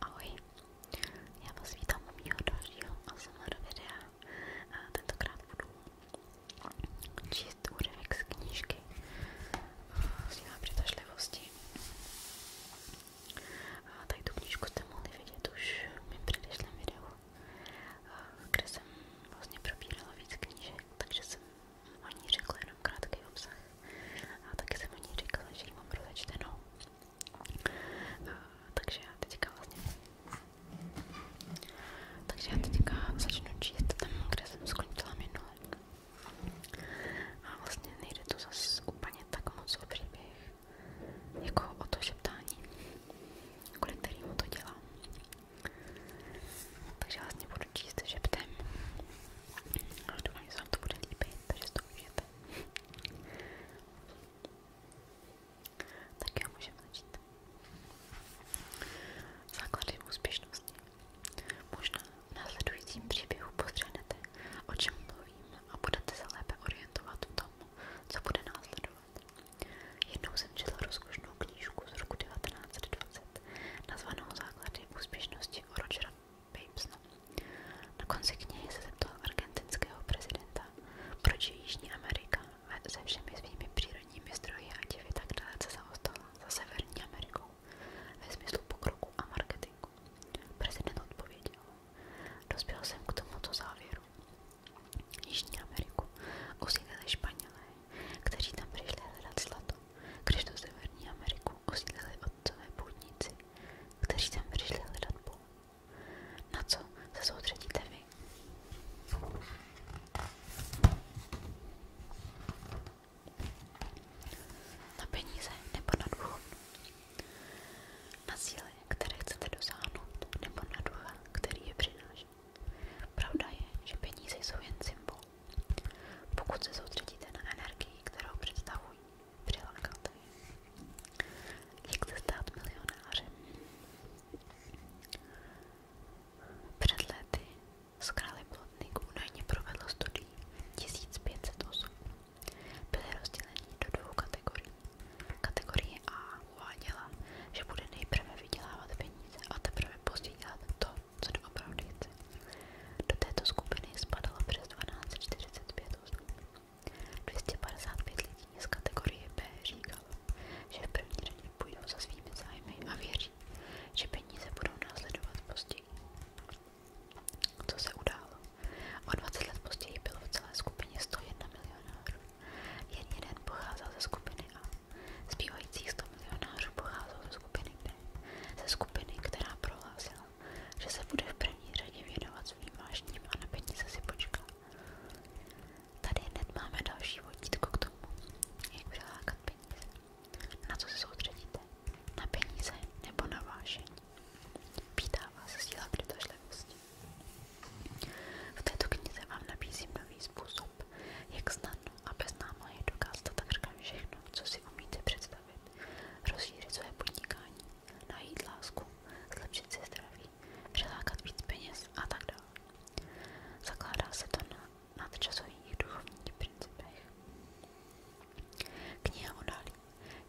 Ahoj, já vás vítám u mého dalšího ASMR videa. Tentokrát budu číst úryvek z knížky Síla eh, přitažlivosti. Tady tu knížku jste mohli vidět už v mém předešlém videu, eh, kde jsem vlastně probírala víc knížek, takže jsem o ní řekla jenom krátký obsah a taky jsem o ní říkala, že ji mám rozečtenou. Takže já teďka vlastně... Takže já teďka začnu číst tam, kde jsem skončila minule. A vlastně nejde to zase úplně tak moc o příběh, jako o to šeptání, kvůli kterému to dělám. Takže vlastně budu číst šeptem a doufám, to bude líbit, to můžete. Tak já můžeme začít. Základy úspěšnosti. Možná v následujícím příběhu postřehnete, o čem mluvím a budete se lépe orientovat v tom, co bude následovat. Jednou jsem četla rozkošnou knížku z roku 1920 nazvanou Základy úspěšnosti smrti Rogera Babesna. No. Na konci knihy se zeptal argentinského prezidenta, proč Jižní Amerika se všemi svými přírodními zdroji a divy tak dalece za Severní Amerikou ve smyslu pokroku a marketingu. Prezident odpověděl, dospěl jsem k tomuto závěru. Jižní Ameriku osídlili Španělé, kteří tam přišli hledat zlato. Když do Severní Ameriku osídlili otcové půdníci, kteří sem přišli hledat Boha. Na co se soustředíte vy? Na peníze nebo na duchu? Na síly, které chcete dosáhnout, nebo na ducha, který je přináší? Pravda je, že peníze jsou jen symbol pokud se soustředíte na energii, kterou představují přilákat. Jak se stát milionářem? Před lety z Králi Plotnik údajně provedl studii 1500 osob. Byly rozděleni do dvou kategorií. Kategorie A uváděla, že bude nejprve vydělávat peníze a teprve později dělat to, co doopravdy chci. Do této skupiny spadalo přes 1245 osob. 255 lidí z kategorie B že v první řadě půjdou za svými zájmy a věří, že peníze budou následovat později. Co se událo? O 20 let později bylo v celé skupině 101 milionárů. Jen jeden pocházel ze skupiny A. Zbývajících 100 milionářů pocházelo ze skupiny, kde, ze skupiny, která prohlásila, že se bude v první řadě věnovat svým vášním a na peníze si počká. Tady hned máme další vodítko k tomu, jak přilákat peníze. Na co se soustředíte? Na peníze nebo na vášení? Pítá vás síla přitažlivosti. V této knize vám nabízím nový způsob, jak snadno a bez námahy dokázat tak říkám všechno, co si umíte představit. Rozšířit své podnikání, najít lásku, zlepšit si zdraví, přilákat víc peněz a tak dále. Zakládá se to na nadčasových duchovních principech. Kniha odálí,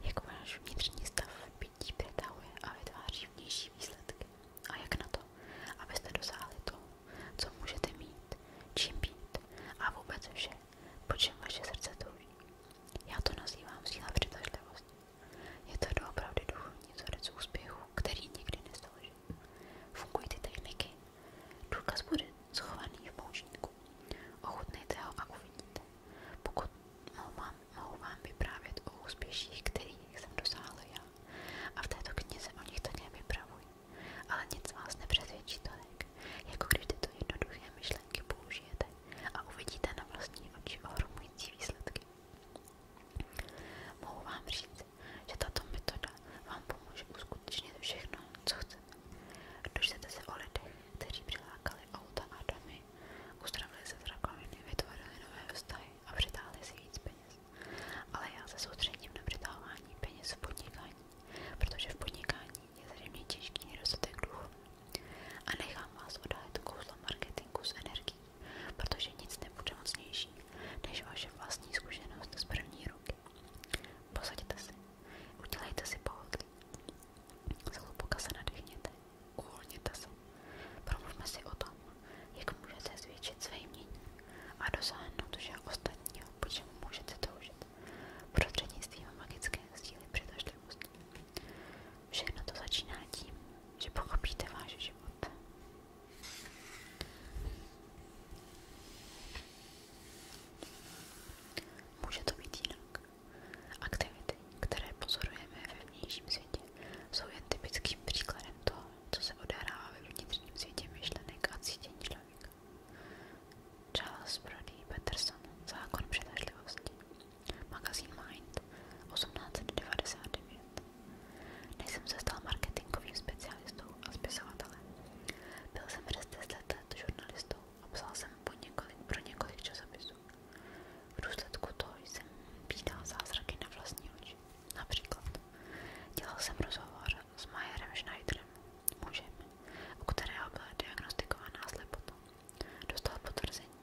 jak váš vnitřní stav bytí přetahuje a vytváří vnější výsledky. A jak na to, abyste dosáhli toho, co můžete mít, čím být a vůbec vše, duše, po čem vaše srdce touží. Já to nazývám síla přitažlivosti. Je to doopravdy duchovní vzorec úspěchu, který nikdy nestalží. Fungují ty techniky. Důkaz bude schovaný v poučníku. Ochutnejte ho a uvidíte. Pokud mohu vám, mohu vám vyprávět o úspěších, kterých jsem dosáhla já. A v této knize o nich také vypravuji. Ale nic vás nepřesvědčí tolik, jako když tyto jednoduché myšlenky použijete a uvidíte na vlastní oči ohromující výsledky. Mohu vám říct, že tato metoda vám pomůže uskutečnit všechno, co chcete. Dočtete se o lidech, kteří přilákali auta a domy, uzdravili se z rakoviny, vytvořili nové vztahy a přitáhli si víc peněz. Ale já se soustředím na přitahování peněz v podnikání protože v podnikání je zřejmě těžký nedostatek duchu. A nechám vás odhalit kouzlo marketingu s energií, protože nic nebude mocnější než vaše vlastní zkušenost z první ruky. Posaďte si, udělejte si pohodlí, zhluboka se nadechněte, uvolněte se, promluvme si o tom, jak můžete zvětšit své jmění a dosáhnout že ostatního po čemu můžete toužit. Prostřednictvím magické síly přitažlivosti. Všechno to začíná tím, že pochopíte váš život. Může to být jinak. Aktivity, které pozorujeme ve vnějším světě, jsou jen typickým příkladem toho, co se odehrává ve vnitřním světě myšlenek a cítění člověka. Charles Brody Peterson, Zákon přitažlivosti, magazín Mind, 1899. Než jsem se stal marketingovým specialistou a spisovatelem, byl jsem přes 10 let žurnalistou a psal jsem po několik, pro několik časopisů. V důsledku toho jsem vídal zázraky na vlastní oči. Například dělal jsem rozhovor s Majerem Schneiderem, mužem, u kterého byla diagnostikovaná slepota. Dostal potvrzení,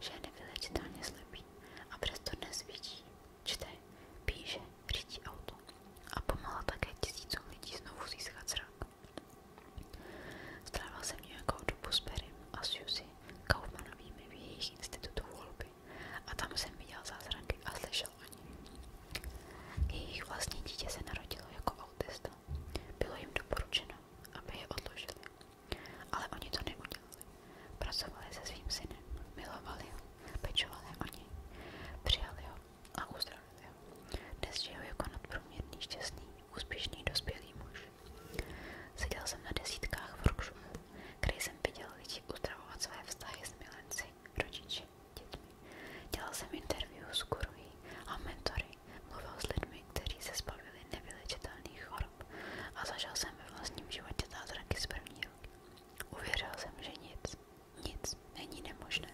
že je nevylečitelně slepý a přesto dnes vidí, čte, píše, řídí auto a pomáhá také tisícům lidí znovu získat zrak. Strávil jsem nějakou dobu s Perrym a Suzy Kaufmanovými v jejich institutu volby a tam jsem viděl zázraky a slyšel netušil ani. vlastní dítě se narodilo jako autista. Bylo jim doporučeno, aby je odložili. Ale oni to neudělali. Pracovali se svým synem, milovali ho, pečovali o ho a uzdravili ho. Dnes žiju jako nadprůměrný, šťastný, úspěšný, dospělý muž. Seděl jsem na desítkách workshopů, kde jsem viděl lidi uzdravovat své vztahy s milenci rodiči, dětmi. Dělal jsem interview s guruji a mentory, mluvil s lidmi, kteří se zbavili nevylečitelných chorob a zažil jsem vlastním životě zázraky z Uvěřil jsem, že nic, nic není nemožné.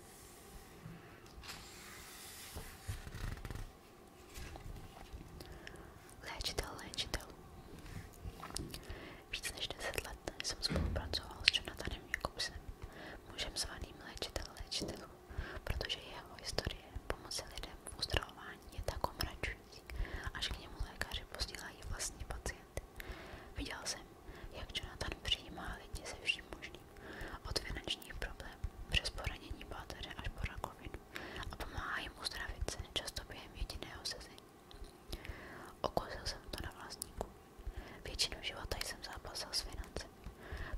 Léčitel, léčitel. Víc než 10 let jsem spolupracoval s Jonathanem Jakobsem mužem zvaným léčitel léčitelů, protože jeho historie pomoci lidem v uzdravování je tak omračující, až k němu lékaři posílají vlastní pacienty. Viděl jsem, jak Jonathan přijímá lidi se vším možným, od finančních problémů přes poranění páteře až po rakovinu a pomáhá jim uzdravit se často během jediného sezení. Okusil jsem to na vlastníku, Většinu života jsem zápasil s financemi.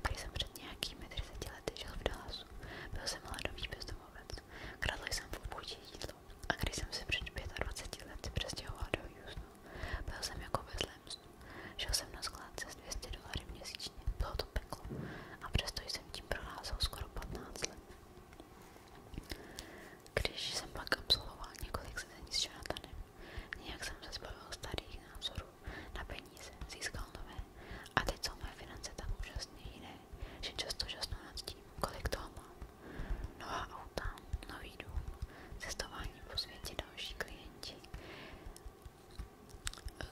Prý jsem před nějakými 30 lety žil v Dallasu. Byl jsem mladový bezdomovec. Kradl jsem v obudí jídlo. A když jsem se před 25 lety přestěhoval do Houstonu, byl jsem jako bezlémstvu. Žil jsem na skládce s 200 dolary měsíčně. Bylo to peklo. A přesto jsem tím proházel skoro 15 let. Když jsem pak absolvoval několik sezení s Jonathanem, Nějak jsem se zbavil starých názorů na peníze, získal nové. A teď jsou moje finance tak úžasně jiné, že často žasnu nad tím, kolik toho mám. Nová auta, nový dům, cestování po světě další klienti,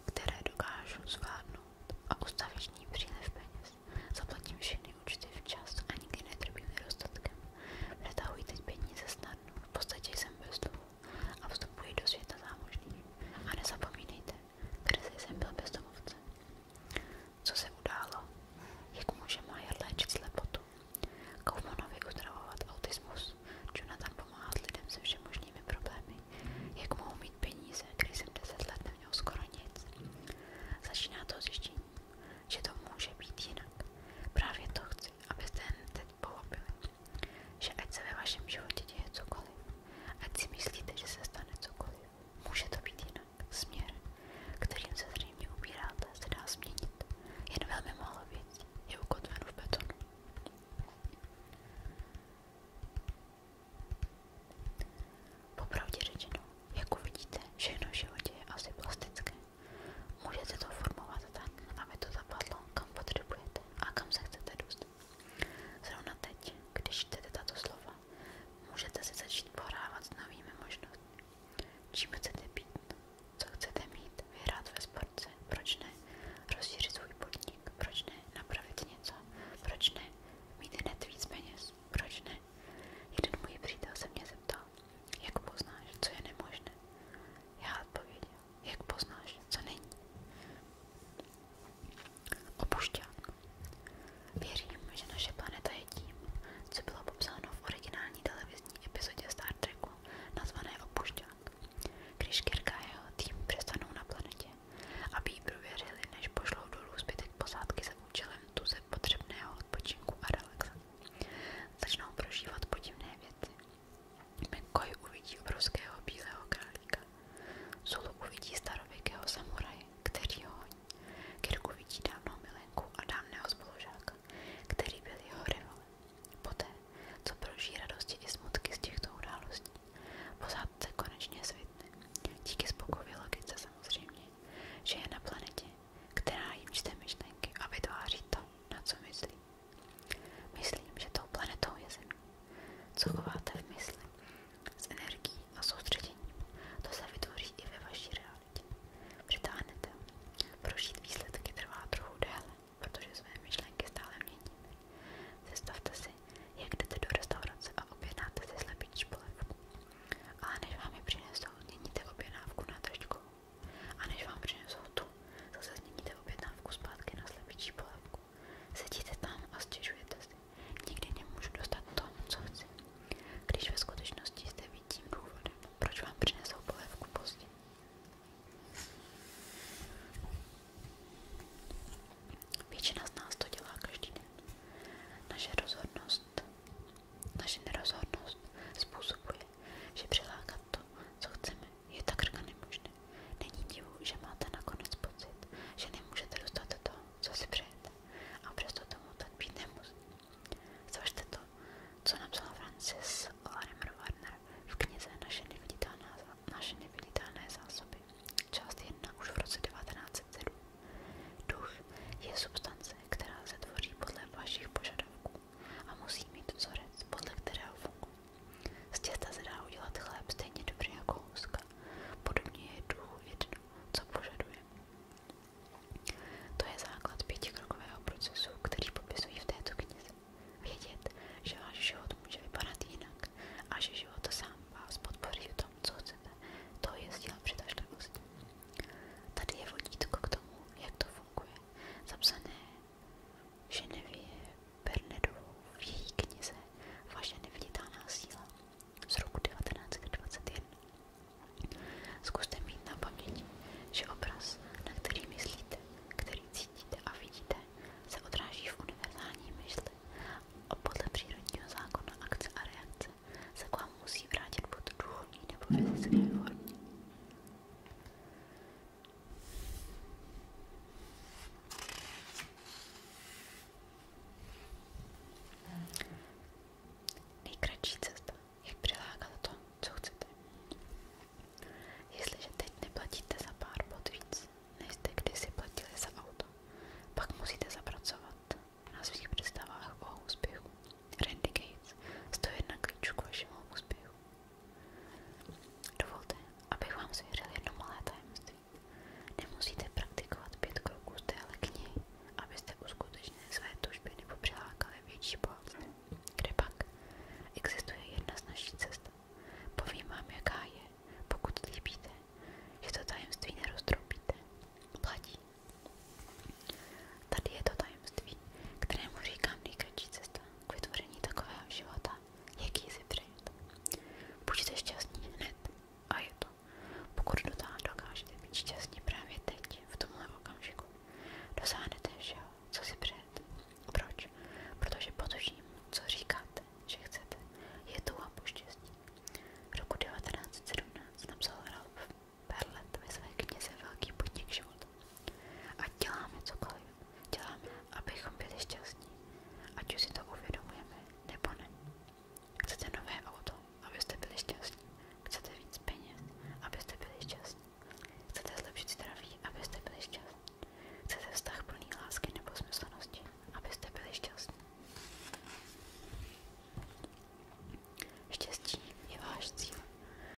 které dokážu zvládnout a ustavičný příliv peněz. Zaplatím všechny účty včas a nikdy netrpím nedostatkem. Přetahuji teď peníze s stárnu, v podstatě jsem bez domu a vstupuji do světa zámožných. A nezapomínejte, kdy jsem byl bezdomovce. Co se událo? Jak může Majer léčit slepotu? Kaufmanovi uzdravovat autismus? Jonathan pomáhat lidem se všemožnými problémy? Jak mohou mít peníze, když jsem 10 let neměl skoro nic? Začíná to zjištění, že to může být jinak. Právě to chci, abyste ten pochopili, že ať se ve děje cokoliv, ať myslíte, že se stane cokoliv, může to být jinak. Směr, kterým se zřejmě ubíráte, se dá změnit. Jen velmi málo věcí je ukotveno v betonu. Popravdě řečeno, jak uvidíte, všechno v životě je asi plastické. Můžete to formovat tak, aby to zapadlo, kam potřebujete a kam se chcete dostat. Zrovna teď, když čtete tato slova, můžete si začít pohrávat s novými možnostmi. Čím chcete být, co chcete mít, vyhrát ve sportce, proč ne, rozšířit svůj podnik, proč ne, napravit něco, proč ne, mít hned víc peněz, proč ne. Jeden můj přítel se mě zeptal, jak poznáš, co je nemožné? Já odpověděl. Jak poznáš, co není? Opušťák. Věřím, že naše planeta je tím, co bylo popsáno v originální televizní epizodě Star Treku, nazvané Opušťák. Když Kirk a jeho tým přestanou na planetě, aby jí prověřili, než pošlou dolů zbytek posádky za účelem tuze potřebného odpočinku a relaxace. Začnou prožívat podivné věci, McCoy uvidí obrovského bílého králíka. Sulu uvidí starověkého samuraje, který ho honí. Kirk uvidí dávnou milenku a dávného spolužáka, který byl jeho rivalem. Poté, co proží radosti i smutky z těchto událostí, posádce konečně svitne. Díky spokojové logice samozřejmě, že je na planetě, která jim čte myšlenky a vytváří to, na co myslí mysli. Myslím, že tou planetou je Zem. Co chováte v mysli? S energií a soustředěním. To se vytvoří i ve vaší realitě. Přitáhnete. Prožít výsledky trvá trochu déle, protože své myšlenky stále měníme. Zestavte si, jak jdete do restaurace a objednáte si slepý polev. Ale než vám je přinesou, měníte objednávku na taškovou. A vám přinesou tu, zase změníte objednávku na slepičí polévku. Sedíte tam a stěžujete si. Nikdy nemůžu dostat to, co Když ve skutečnosti jste vidím důvodem, proč vám přinesou polévku pozdě. Většina z nás to dělá každý den. Naše rozhodnost, naše nerozhodnost způsobuje, že přilákat to, co chceme, je takřka nemožné. Není divu, že máte nakonec pocit, že nemůžete dostat to, co si přejete. A přesto tomu tak být nemusí. Zvažte to, co napsala Francis Larimer Warner v knize Naše neviditelné, naše neviditelné zásoby, část 1 už v roce 1907. Duch je substance, která se tvoří podle vašich požadavků a musí mít vzorec, podle kterého funguje. Z těsta se dá udělat chléb stejně dobrý jako houska. Podobně je duchu jedno, co požaduje. To je základ pětikrokového procesu, který popisují v této knize. Vědět, že váš život může vypadat jinak a že život sám vás podpoří v tom, co chcete, to je síla přitažlivosti. Tady je vodítko k tomu, jak to funguje, zapsané Ženevě Bernardovou v její knize Vaše neviditelná síla z roku 1921. Zkuste mít na paměti, že obraz, na který myslíte, který cítíte a vidíte, se odráží v univerzální mysli a podle přírodního zákona akce a reakce se k vám musí vrátit pod duchovní nebo fyzické formě. Nejkratší cesta, jak přilákat to, co chcete. Jestliže teď neplatíte za pár bod víc, než jste kdysi platili za auto, pak musíte zapracovat na svých představách o úspěchu. Randy Gates, 101 klíčů k vašemu úspěchu. Dovolte, abych vám svěřil jedno malé tajemství. Nemusíte praktikovat pět kroků z téhle knihy, abyste uskutečnili své tužby nebo přilákali větší bohatství. Kde pak? Existuje jedna z našich cest. Povím vám, jaká je, pokud líbíte, že to tajemství neroztropíte. Platí. Tady je to tajemství, kterému říkám nejkratší cesta k vytvoření takového života, jaký si přejete. Buďte šťastní hned a je to. Pokud do toho dokážete být šťastní právě teď, v tomhle okamžiku, dosáhnete všeho, co si přejete. Proč? Protože pod tím, co říkáte, že chcete, je touha po štěstí. Roku 1917 napsal Ralph Perlet ve své knize Velký podnik života. Ať děláme cokoliv, děláme, abychom byli šťastní, ať už si to uvědomujeme, nebo ne. Chcete nové auto, abyste byli šťastní, chcete víc peněz, abyste byli šťastní, chcete zlepšit zdraví, abyste byli šťastní, chcete vztah plný lásky nebo smyslenosti, abyste byli šťastní. Štěstí je váš cíl.